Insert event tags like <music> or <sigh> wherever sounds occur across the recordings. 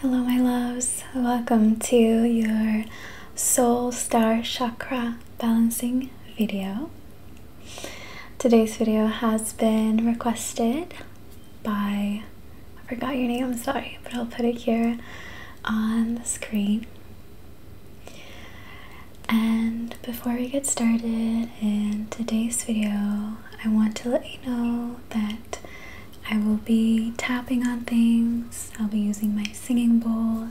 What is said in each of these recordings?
Hello, my loves. Welcome to your Soul Star Chakra balancing video. Today's video has been requested by, I forgot your name, I'm sorry, but I'll put it here on the screen. And before we get started in today's video, I want to let you know that I will be tapping on things, I'll be using my singing bowl,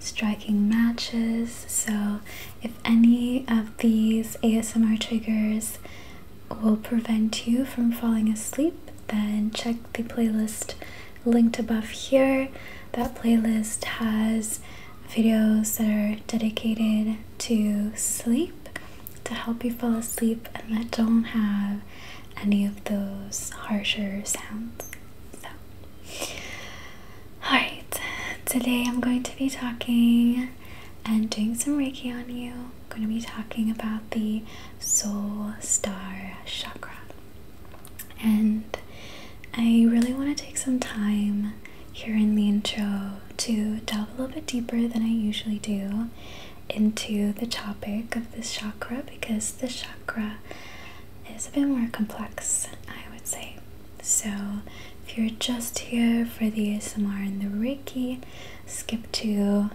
striking matches. So, if any of these ASMR triggers will prevent you from falling asleep, then check the playlist linked above here. That playlist has videos that are dedicated to sleep to help you fall asleep and that don't have any of those harsher sounds. So, alright, today I'm going to be talking and doing some Reiki on you. I'm going to be talking about the soul star chakra. And I really want to take some time here in the intro to delve a little bit deeper than I usually do into the topic of this chakra because the chakra is a bit more complex, I would say. So, if you're just here for the ASMR and the Reiki, skip to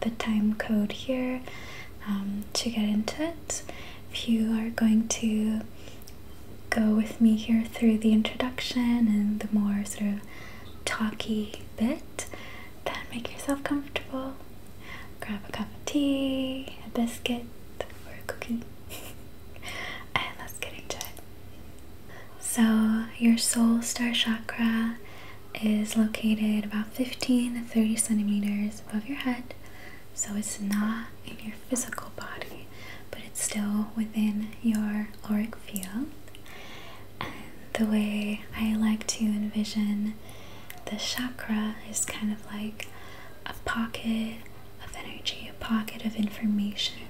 the time code here um, to get into it. If you are going to go with me here through the introduction and the more sort of talky bit, then make yourself comfortable. Grab a cup of tea, a biscuit, or a cookie, <laughs> and let's get into it. So, your soul star chakra is located about 15 to 30 centimeters above your head, so it's not in your physical body, but it's still within your auric field the way I like to envision the chakra is kind of like a pocket of energy, a pocket of information.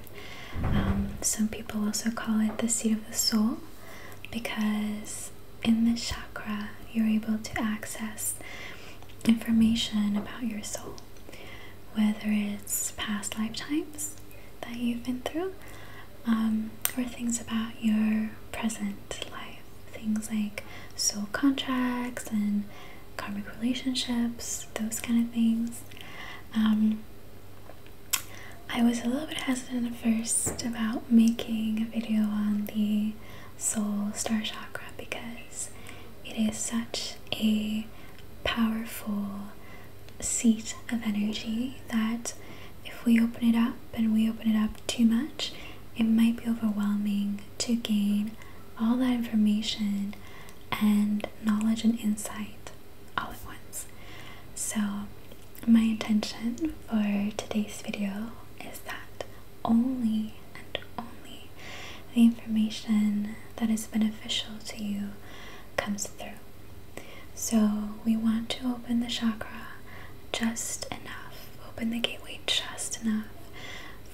Um, some people also call it the seat of the soul because in the chakra you're able to access information about your soul, whether it's past lifetimes that you've been through um, or things about your present life. Things like soul contracts and karmic relationships, those kind of things. Um, I was a little bit hesitant at first about making a video on the soul star chakra because it is such a powerful seat of energy that if we open it up and we open it up too much, it might be overwhelming to gain all that information and knowledge and insight all at once. So, my intention for today's video is that only and only the information that is beneficial to you comes through. So we want to open the chakra just enough, open the gateway just enough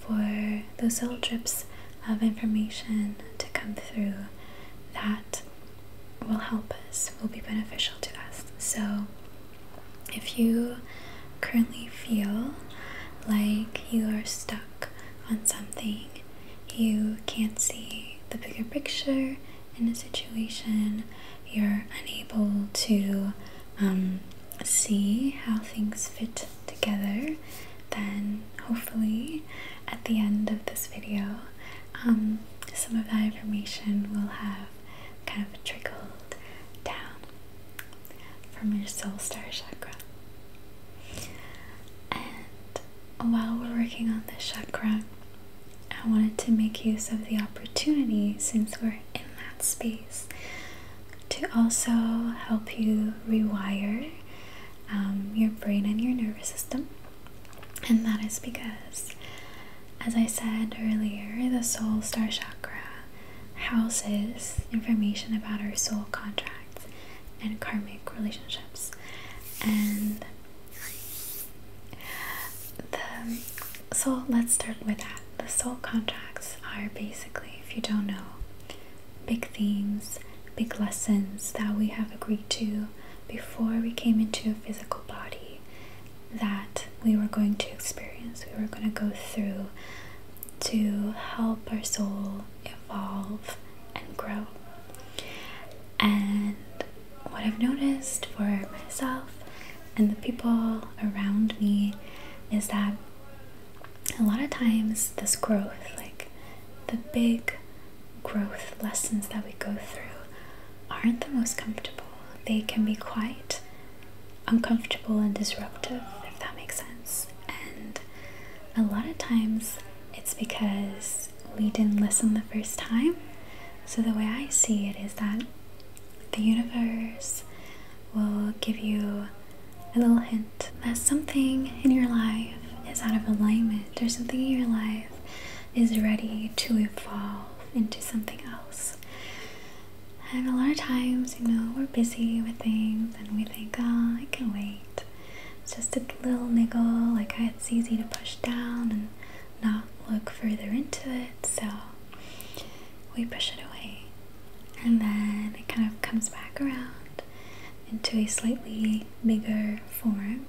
for those little drips of information to come through that will help us, will be beneficial to us. So if you currently feel like you are stuck on something, you can't see the bigger picture, in a situation, you're unable to um, see how things fit together, then hopefully at the end of this video, um, some of that information will have kind of trickled down from your soul star chakra. And while we're working on this chakra, I wanted to make use of the opportunity since we're in that space to also help you rewire um, your brain and your nervous system. And that is because, as I said earlier, the soul star chakra houses information about our soul contracts and karmic relationships. And the soul, let's start with that. The soul contracts are basically, if you don't know, big themes, big lessons that we have agreed to before we came into a physical body that we were going to experience, we were going to go through to help our soul evolve and grow. And what I've noticed for myself and the people around me is that a lot of times this growth, like the big growth lessons that we go through, aren't the most comfortable. They can be quite uncomfortable and disruptive, if that makes sense. And a lot of times, it's because we didn't listen the first time. So, the way I see it is that the universe will give you a little hint that something in your life is out of alignment or something in your life is ready to evolve into something else. And a lot of times, you know, we're busy with things and we think, oh, I can wait. It's just a little niggle, like it's easy to push down and not look further into it, so we push it away. And then it kind of comes back around into a slightly bigger form.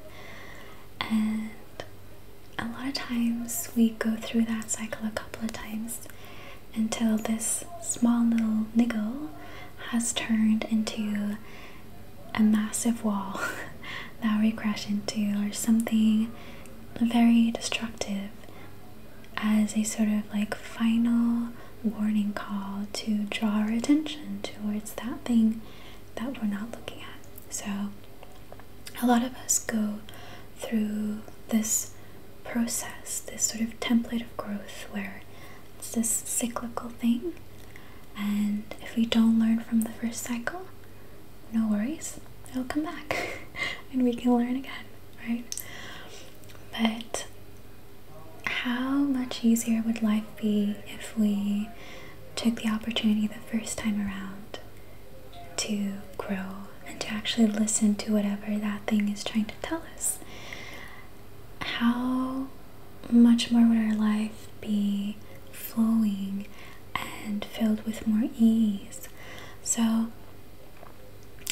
And a lot of times we go through that cycle a couple of times until this small little niggle has turned into a massive wall <laughs> that we crash into or something very destructive as a sort of like final warning call to draw attention towards that thing that we're not looking at. So, a lot of us go through this process, this sort of template of growth where it's this cyclical thing and if we don't learn from the first cycle, no worries, it'll come back <laughs> and we can learn again, right? But how much easier would life be if we took the opportunity the first time around to grow and to actually listen to whatever that thing is trying to tell us? How much more would our life be flowing and filled with more ease. So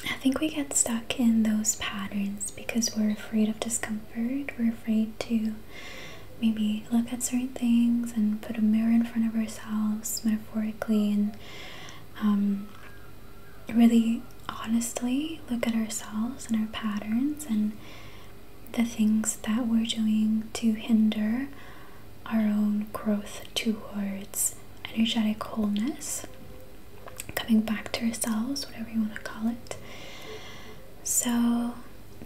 I think we get stuck in those patterns because we're afraid of discomfort. We're afraid to maybe look at certain things and put a mirror in front of ourselves metaphorically and um, really honestly look at ourselves and our patterns and the things that we're doing to hinder our own growth towards energetic wholeness, coming back to ourselves, whatever you want to call it. So,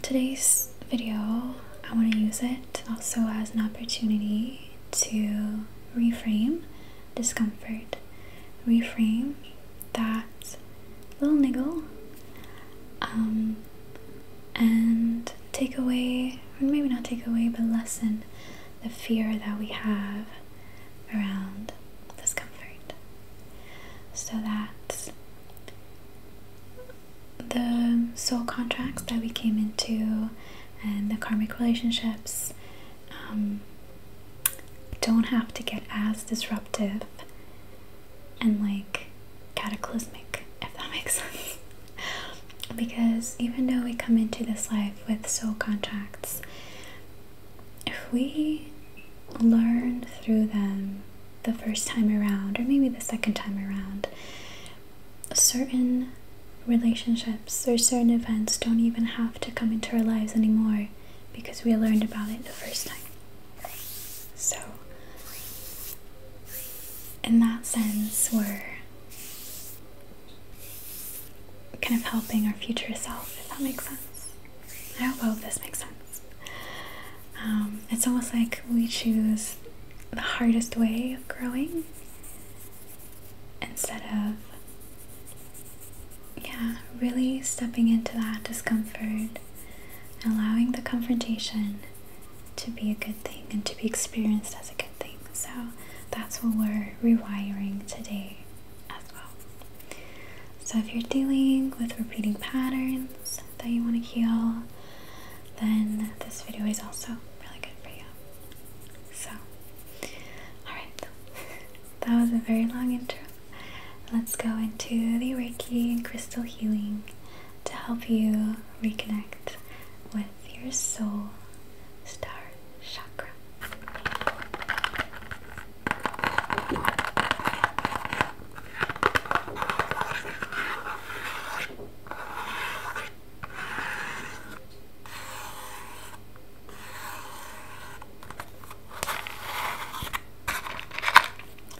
today's video, I want to use it also as an opportunity to reframe discomfort, reframe that little niggle um, and take away, or maybe not take away, but lessen the fear that we have around discomfort. So that the soul contracts that we came into and the karmic relationships um, don't have to get as disruptive and like cataclysmic, if that <laughs> makes sense. because even though we come into this life with soul contracts, if we learn through them the first time around, or maybe the second time around, certain relationships or certain events don't even have to come into our lives anymore because we learned about it the first time. So, in that sense, we're kind of helping our future self, if that makes sense. I hope this makes sense. Um, it's almost like we choose the hardest way of growing instead of, yeah, really stepping into that discomfort allowing the confrontation to be a good thing and to be experienced as a good thing. So that's what we're rewiring today as well. So if you're dealing with repeating patterns that you want to heal, then this video is also really good for you. So, alright, <laughs> that was a very long intro let's go into the Reiki and crystal healing to help you reconnect with your soul star chakra.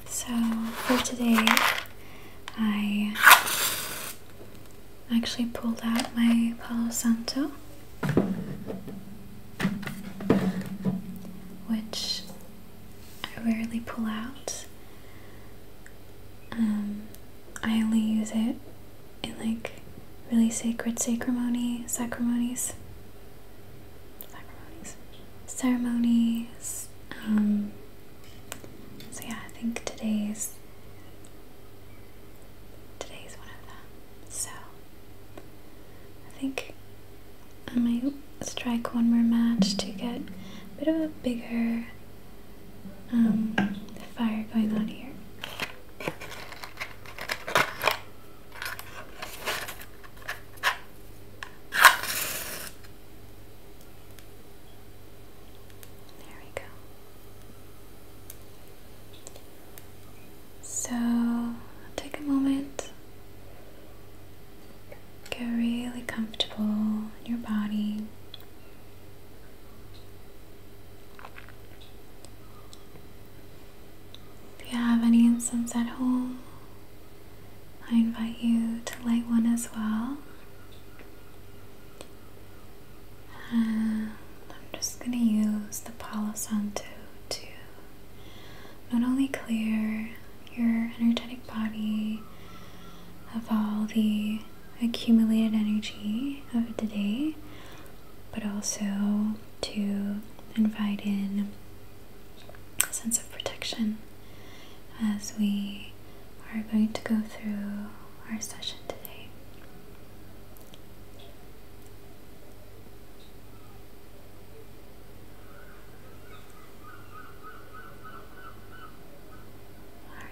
So for today, I actually pulled out my Palo Santo, which I rarely pull out. Um, I only use it in like really sacred sacrimony, sacrimonies ceremonies. Um, so yeah, I think today's today's one of them. So I think I might strike one more match to get a bit of a bigger um, fire going on here. There we go. So take a moment, get really comfortable in your body. If you have any incense at home, I invite you to light one as well. I'm just going to use the Palo Santo to not only clear your energetic body of all the accumulated energy of the day, but also to invite in a sense of protection as we are going to go through our session today. All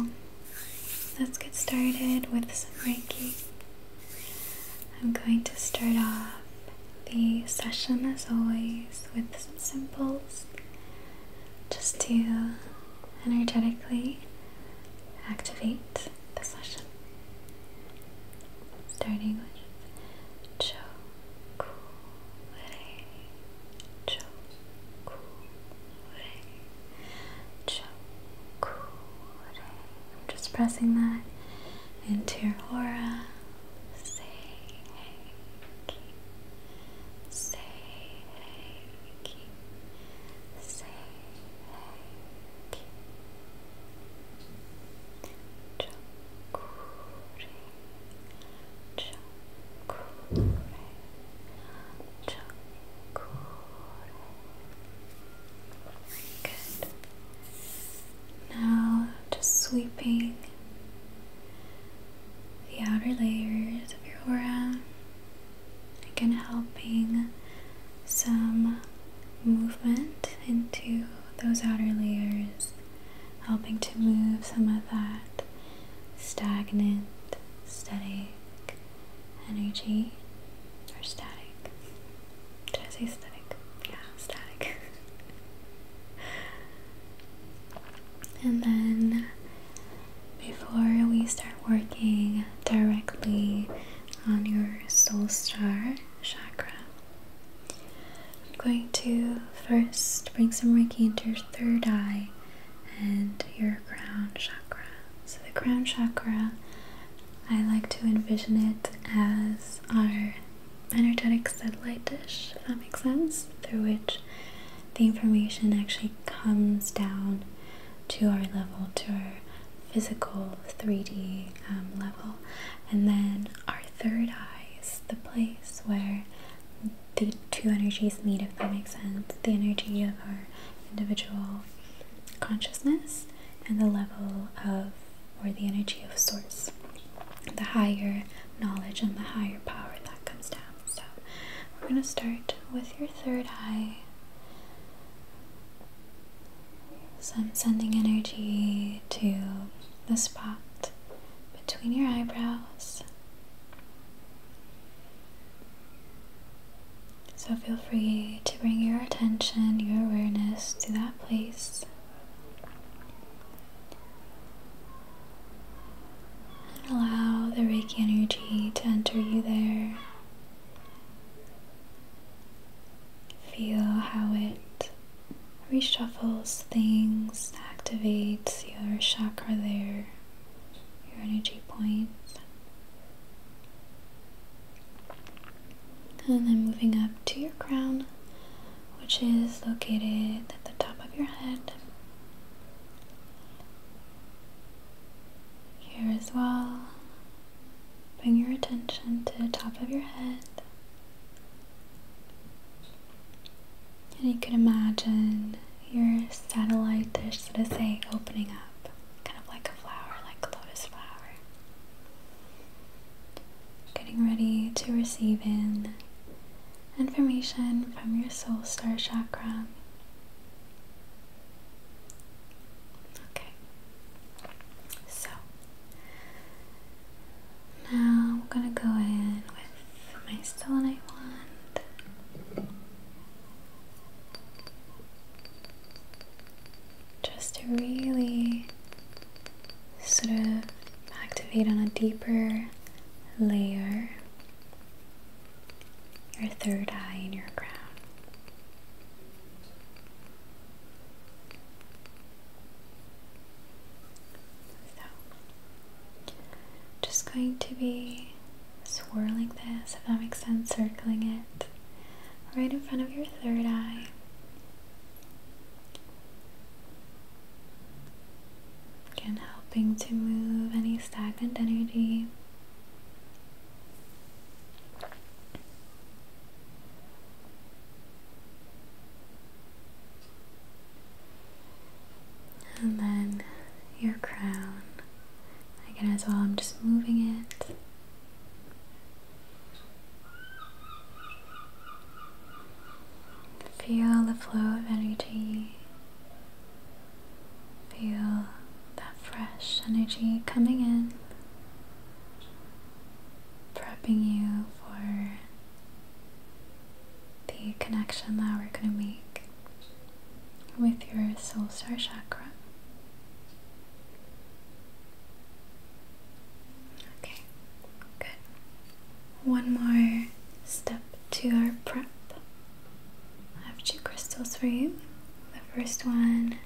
right. So, let's get started with some Reiki. I'm going to start off the session as always with some symbols just to energetically activate the session. Starting with Cho Ku Re Cho Ku I'm just pressing that into your aura. Say hey, say say hey. Chakure, Good. Now, just sweeping the outer layers of your aura, again, helping some movement into those outer layers, helping to move some of that stagnant, static energy or static. Did I say static? Yeah, static. <laughs> and then before we start working directly on your soul star chakra, I'm going to first bring some Reiki into your third eye and your crown chakra. So, the crown chakra, I like to envision it as our energetic satellite dish, if that makes sense, through which the information actually comes down to our level, to our physical 3D um, level. And then our third eye is the place where the two energies meet, if that makes sense the energy of our individual consciousness and the level of or the energy of source the higher knowledge and the higher power that comes down so we're going to start with your third eye so sending energy to the spot between your eyebrows so feel free to bring your attention, your awareness to that place. And allow the Reiki energy to enter you there. Feel how it reshuffles things, activates your chakra there, your energy points. And then moving up to your crown, which is located at the top of your head. Here as well, bring your attention to the top of your head. And you can imagine your satellite dish, going to say, opening up, kind of like a flower, like a lotus flower. Getting ready to receive in information from your soul star chakra. Okay, so now I'm gonna go in with my I want. Just to really sort of activate on a deeper layer your third eye and your crown. just going to be swirling this, if that makes sense, circling it right in front of your third eye. Again, helping to move any stagnant energy. And then your crown Again, as well, I'm just moving it. Feel the flow of energy. Feel that fresh energy coming in, prepping you for the connection that we're going to make with your soul star chakra. Okay, good. One more step to our prep. I have two crystals for you. The first one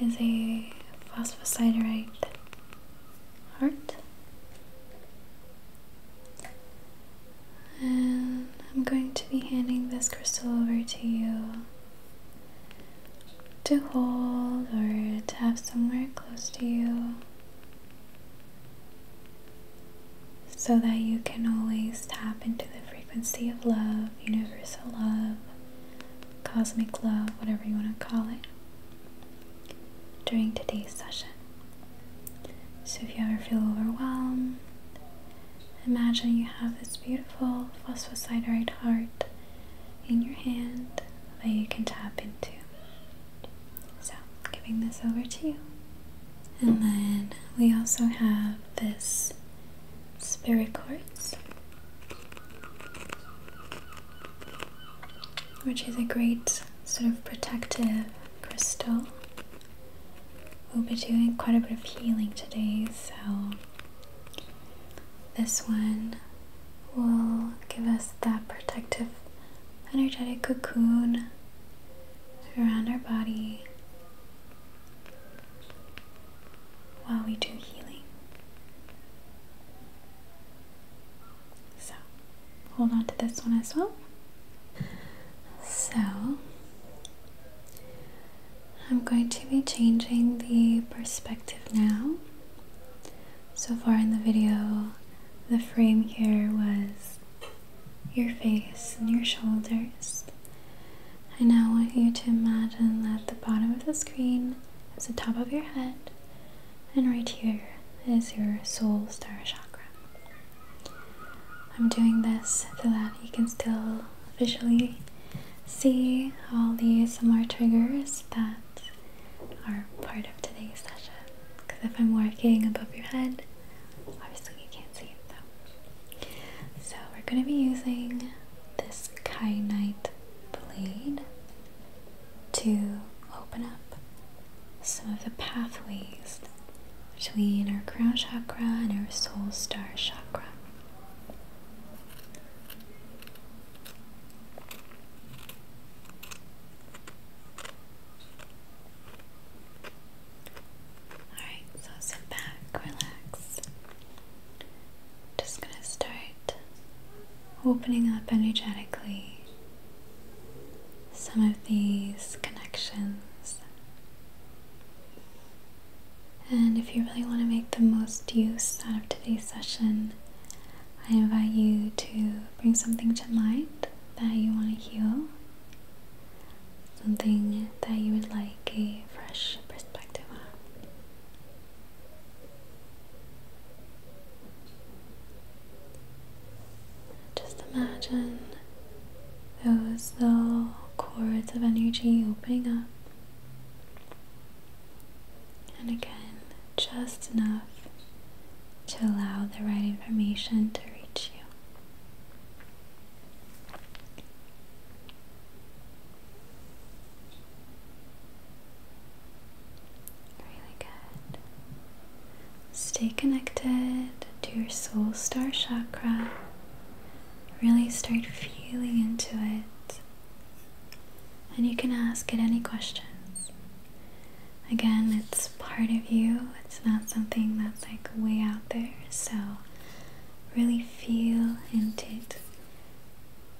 is a phosphosiderite heart. And I'm going to be handing this crystal over to you to hold or to have somewhere close to you so that you can always tap into the frequency of love, universal love, cosmic love, whatever you want to call it, during today's session. So if you ever feel overwhelmed, Imagine you have this beautiful phosphosiderite heart in your hand that you can tap into. So, giving this over to you. And then we also have this spirit quartz, which is a great sort of protective crystal We'll be doing quite a bit of healing today, so this one will give us that protective energetic cocoon around our body while we do healing. So, hold on to this one as well. So, I'm going to be changing the perspective now. So far in the video, the frame here was your face and your shoulders. I now want you to imagine that the bottom of the screen is the top of your head, and right here is your soul star chakra. I'm doing this so that you can still visually see all these ASMR triggers that are part of today's session. Because if I'm working above your head, obviously you can't see it So we're going to be using this kyanite blade to open up some of the pathways between our crown chakra and our soul star chakra. Alright, so sit back, relax. Just gonna start opening up energetically some of these connections and if you really want to make the most use out of today's session, I invite you to bring something to mind that you want to heal, something that you would like a fresh perspective on. Just imagine those little cords of energy opening up. And again, just enough to allow the right information to reach you. Really good. Stay connected to your soul star chakra Really start feeling into it. And you can ask it any questions. Again, it's part of you, it's not something that's like way out there, so really feel into it.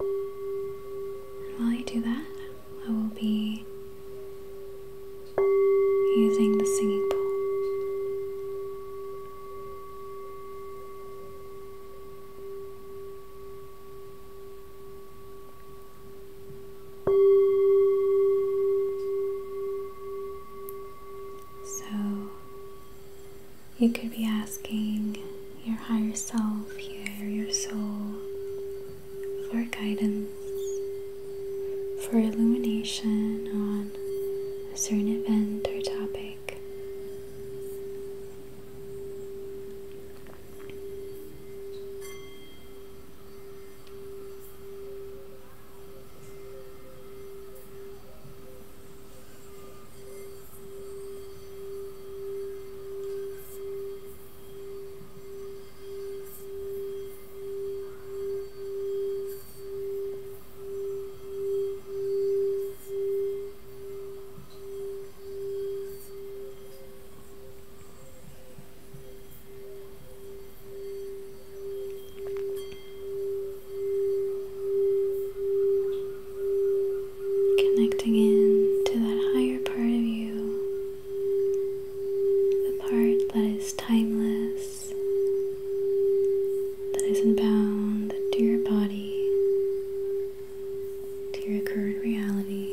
And while you do that, I will be using the singing bowl. So, you could be asking your higher self here, your soul, for guidance for illumination on a certain event or topic. Connecting in to that higher part of you, the part that is timeless that isn't bound to your body, to your current reality.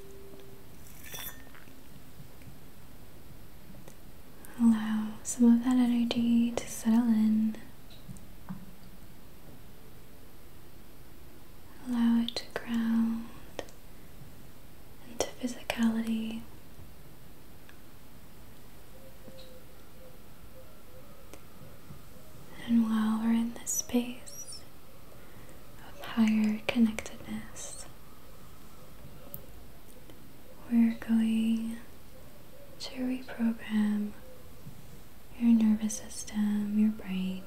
Allow some of that energy to settle in. Allow it to ground into physicality. And while we're in this space, of higher connectedness. We're going to reprogram your nervous system, your brain,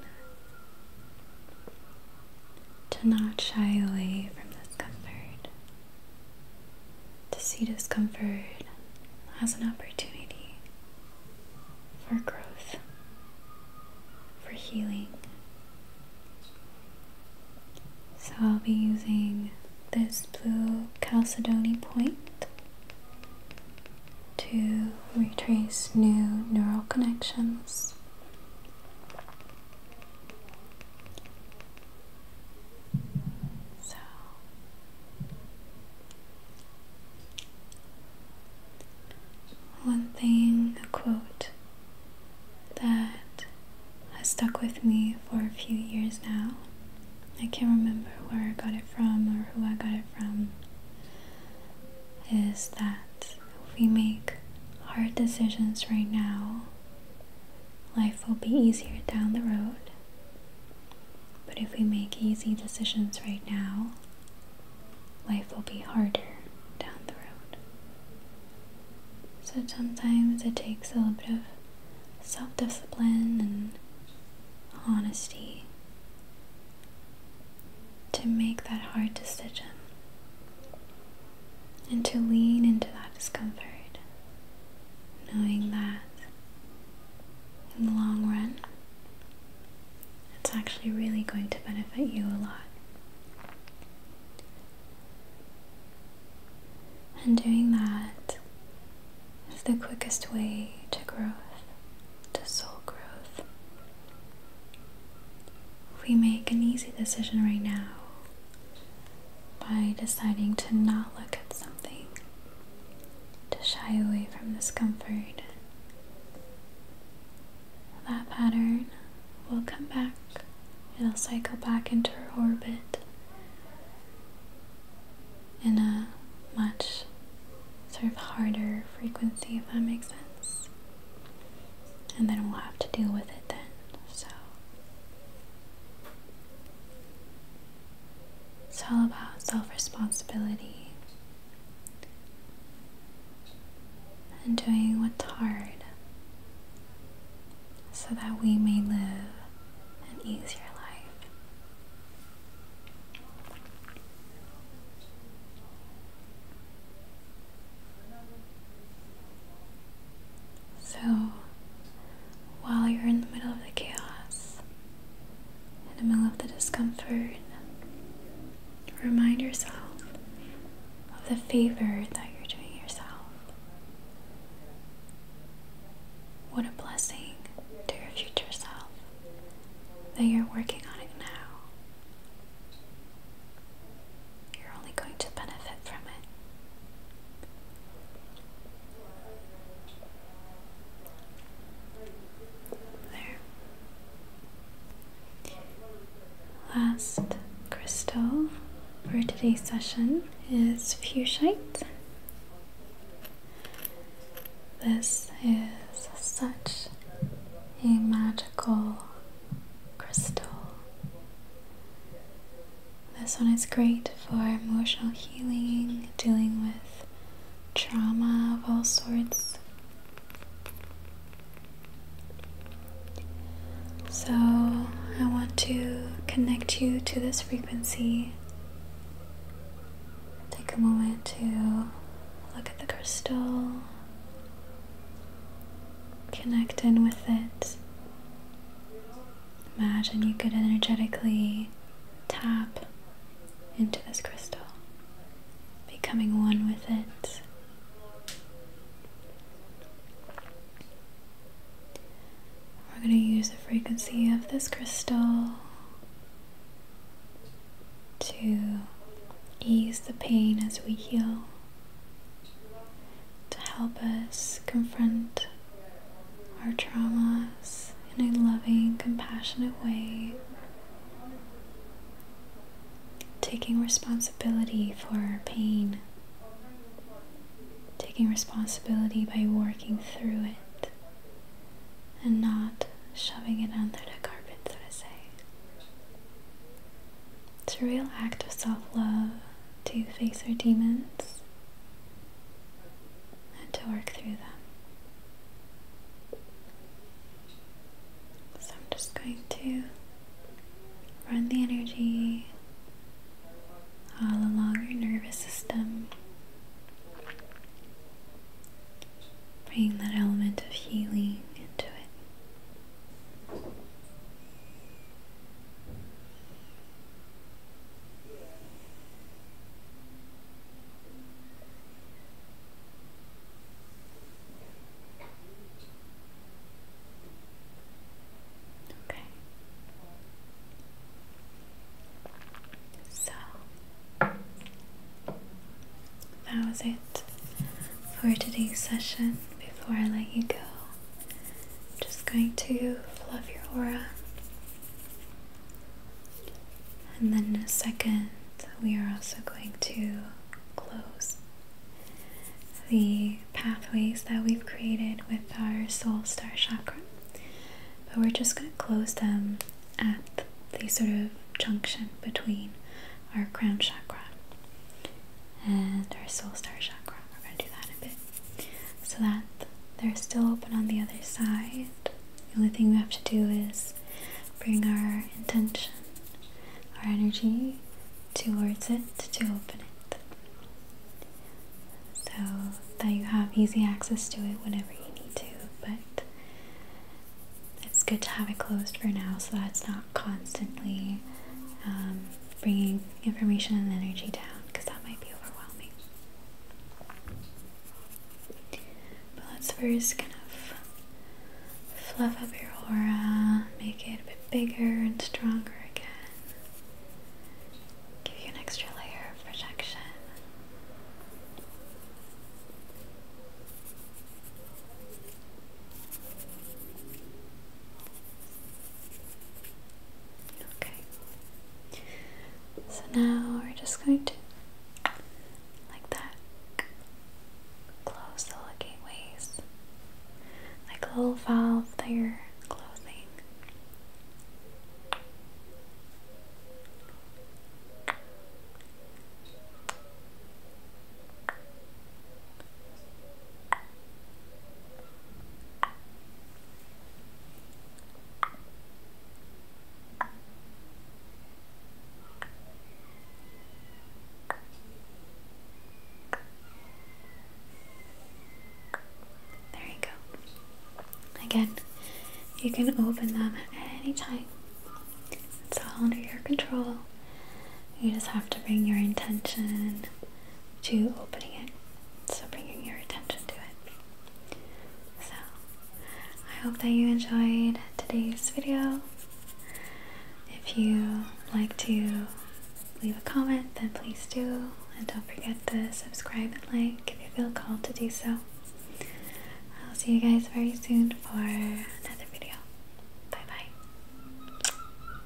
to not shy away from discomfort, to see discomfort as an opportunity for growth, for healing. So I'll be using this blue chalcedony point to retrace new neural connections. So one thing, a quote that has stuck with me for a few years now. I can't remember where I got it from or who I got it from. Is that if we make hard decisions right now, life will be easier down the road. But if we make easy decisions right now, life will be harder down the road. So sometimes it takes a little bit of self discipline and honesty to make that hard decision and to lean into that discomfort, knowing that in the long run it's actually really going to benefit you a lot. And doing that is the quickest way to growth, to soul growth. We make an easy decision right now by deciding to not look at something, to shy away from discomfort, that pattern will come back. It'll cycle back into her orbit in a much sort of harder frequency, if that makes sense. And then we'll have to deal with it then. So it's all about self responsibility and doing what's hard so that we may live an easier life. So, while you're in the middle of the chaos, in the middle of the discomfort, Remind yourself of the favor that you're doing yourself. What a blessing to your future self that you're working on it now. You're only going to benefit from it. There. Last crystal for today's session is fuchsite. This is such a magical crystal. This one is great for emotional healing, dealing with trauma of all sorts. So, I want to connect you to this frequency. Take a moment to look at the crystal, connect in with it. Imagine you could energetically tap into this crystal, becoming one with it. We're going to use the frequency of this crystal to ease the pain as we heal, to help us confront our traumas in a loving, compassionate way, taking responsibility for pain, taking responsibility by working through it, and not shoving it under the carpet, so to say. It's a real act of self love to face our demons and to work through them. So I'm just going to run the energy all along your nervous system, bringing that element of healing into it. So that was it for today's session. Before I let you go, I'm just going to fluff your aura. And then in second, we are also going to close the pathways that we've created with our soul star chakra. But we're just going to close them at the sort of junction between our crown chakra and our soul star chakra. We're going to do that a bit so that they're still open on the other side. The only thing we have to do is bring our intention, our energy towards it to open it so that you have easy access to it whenever you need to. But it's good to have it closed for now so that it's not constantly um, bringing information and energy down because that might be overwhelming. But let's first kind of fluff up your aura, make it a bit bigger and stronger again. Give you an extra layer of protection. Okay. So now we're just going to, like that, close the looking ways, like a little valve that you're closing. There you go. Again, you can open them at any time. It's all under your control. You just have to bring your intention to opening it. So, bringing your attention to it. So, I hope that you enjoyed today's video. If you like to leave a comment, then please do. And don't forget to subscribe and like if you feel called to do so. I'll see you guys very soon for another video. Bye bye.